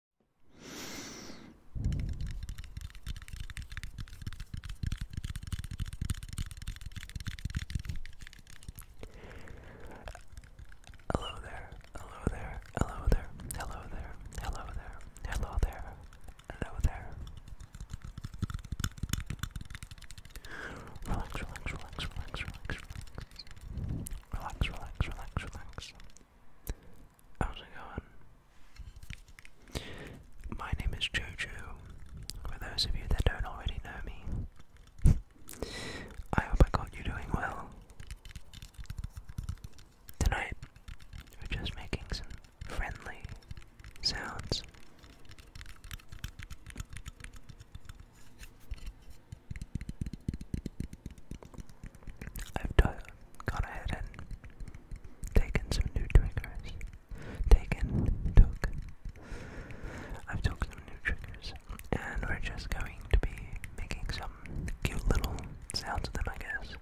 Hello there, hello there, hello there, hello there, hello there, hello there, hello there. Relax, relax, relax, relax, relax, relax. Relax, relax, relax, relax. How's it going? My name is Jojo. For those of you that don't already know me, I hope I got you doing well. Tonight, we're just making some friendly sounds. I've gone ahead and taken some new triggers. Taken, took. I've took some new triggers, and we're just going to be making some cute little sounds of them, I guess.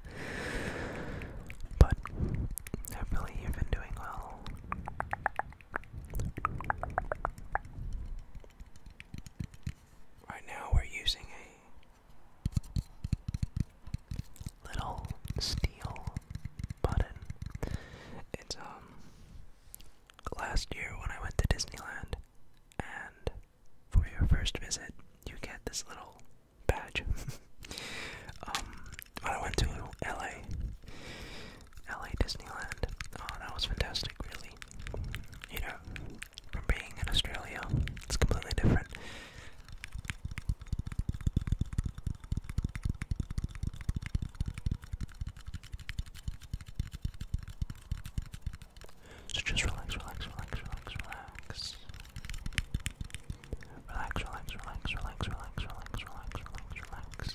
But hopefully you've been doing well. Right now we're using a little steel button. It's um last year when I went to Disneyland and for your first visit you get this little badge. um I went to LA LA Disneyland. Oh that was fantastic, really you know, from being in Australia, it's completely different. So just relax, relax, relax, relax, relax. Relax, relax, relax, relax, relax, relax, relax, relax, relax.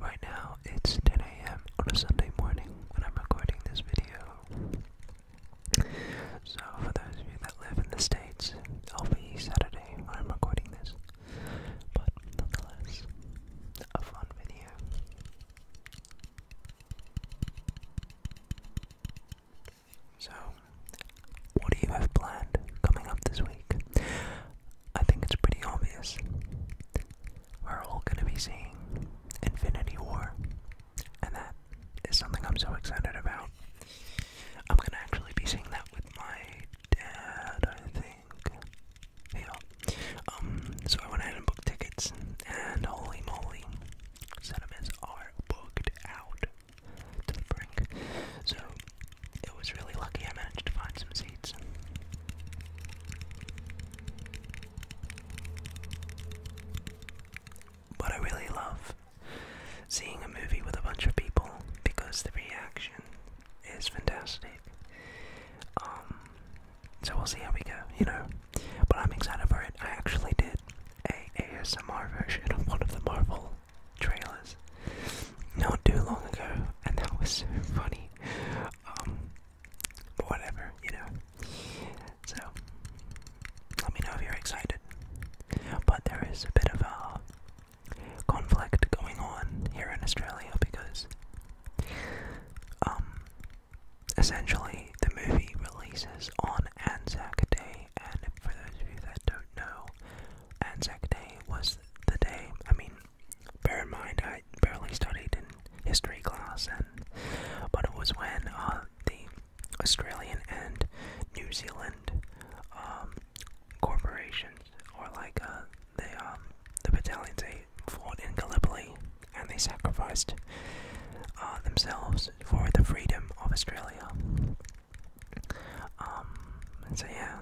Right now, it's 10 a.m. on a Sunday morning when I'm recording this video. So, for those of you that live in the States, it'll be Saturday when I'm recording this. But, nonetheless, a fun video. So, what do you have planned coming up this week? I think it's pretty obvious. We're all going to be seeing Infinity War, and that is something I'm so excited about. I'm going to actually be seeing that with my dad, I think. Yeah. Um, so I went ahead and booked tickets, and holy moly, cinemas are booked out to the brink. So it was really lucky I managed to find some seeds. But I really love seeing a movie with a bunch of people because the reaction is fantastic. Um, so we'll see how we go, you know. But I'm excited for it. I actually did a ASMR version of one of the Marvel trailers not too long ago, and that was so funny. Um, but whatever, you know. So, let me know if you're excited. But there is a bit of a conflict going on here in Australia because, um, essentially the movie releases on Anzac Day, and for those of you that don't know, Anzac Day was the day. I mean, bear in mind, I barely studied in history class, and but it was when uh, the Australian and New Zealand um, corporations, or like uh, the um, the battalions, they fought in Gallipoli, and they sacrificed uh, themselves for the freedom of Australia and um, so yeah.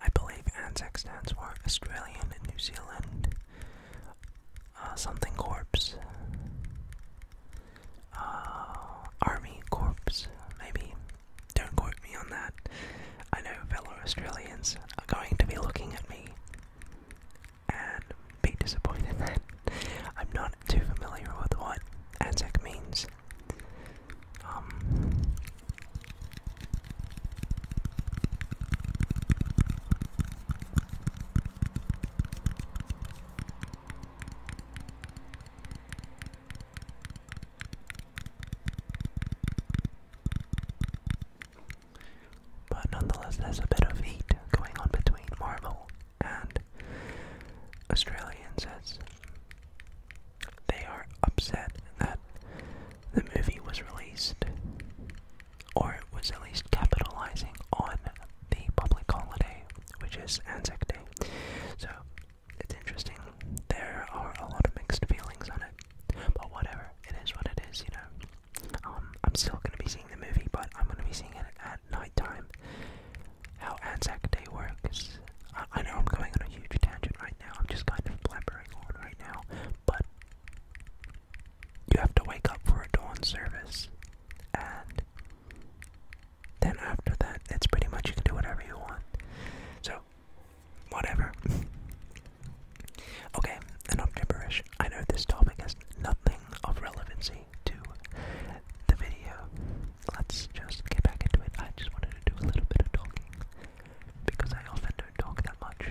I believe ANZAC stands for Australian and New Zealand uh, something Corps, uh, Army Corps, maybe. Don't quote me on that. I know fellow Australians are going to be looking at me and be disappointed I'm not too familiar with what ANZAC means. Um, but nonetheless, there's a bit of heat going on between Marvel and Australian sets. They are upset that the movie was released, or it was at least capitalizing on the public holiday, which is Anzac Day. So it's interesting. There are a lot of mixed feelings on it, but whatever. It is what it is, you know. Um, I'm still gonna be seeing the movie, but I'm gonna be seeing it at night time how Anzac Day works. I, know I'm going on a huge tangent right now, I'm just kind of blabbering on right now, but you have to wake up for a dawn service, and then after that, it's pretty much you can do whatever you want. So, whatever. okay, and i enough gibberish. I know this topic has nothing of relevancy to the video. Let's just get back into it. I just wanted to do a little bit of talking because I often don't talk that much.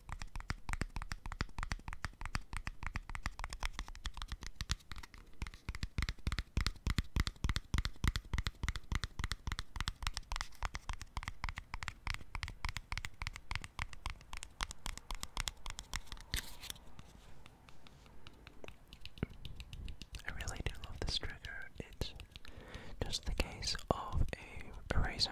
I really do love this trigger. It's just the case of a eraser.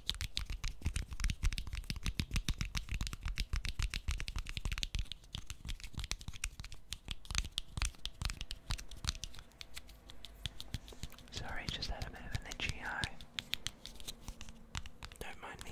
Sorry, just had a bit of an itchy eye. Don't mind me.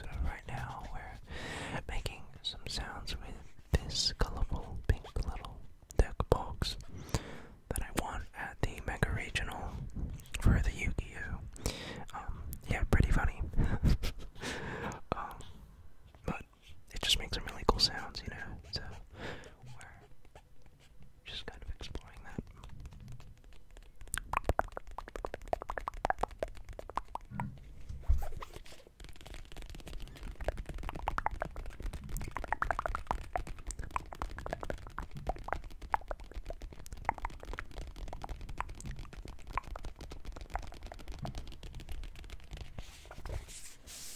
So right now we're making some sounds with this colorful pink little deck box that I won at the Mega Regional for the Yu-Gi-Oh! Um, yeah, pretty funny. Um, but it just makes some really cool sounds, you know. So we're just kind of exploring that.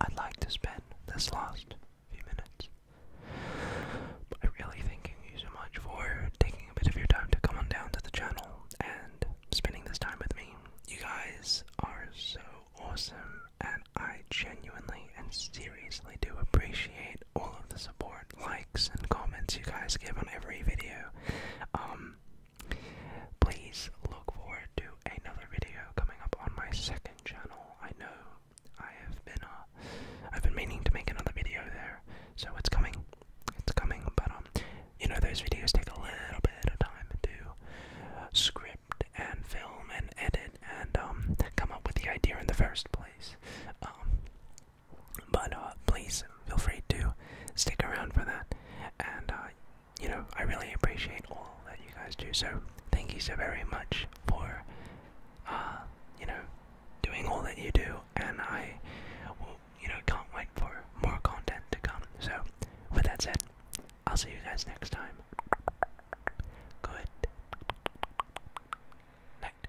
I'd like to spend this last few minutes by really thanking you so much for taking a bit of your time to come on down to the channel and spending this time with me. You guys are so awesome, and I genuinely and seriously do appreciate all of the support, likes, and comments you guys give on every video. Um, please look forward to another video coming up on my second channel. I know I have been uh, have been meaning to make another video there, so it's coming. It's coming, but um, you know those videos take a little bit of time to script and film and edit and um come up with the idea in the first place. Um, but uh, please feel free to stick around for that. And, uh, you know, I really appreciate all that you guys do. So thank you so very much for, uh, you know, doing all that you do. And I, well, you know, can't wait for more content to come. So with that said, I'll see you guys next time. Good night.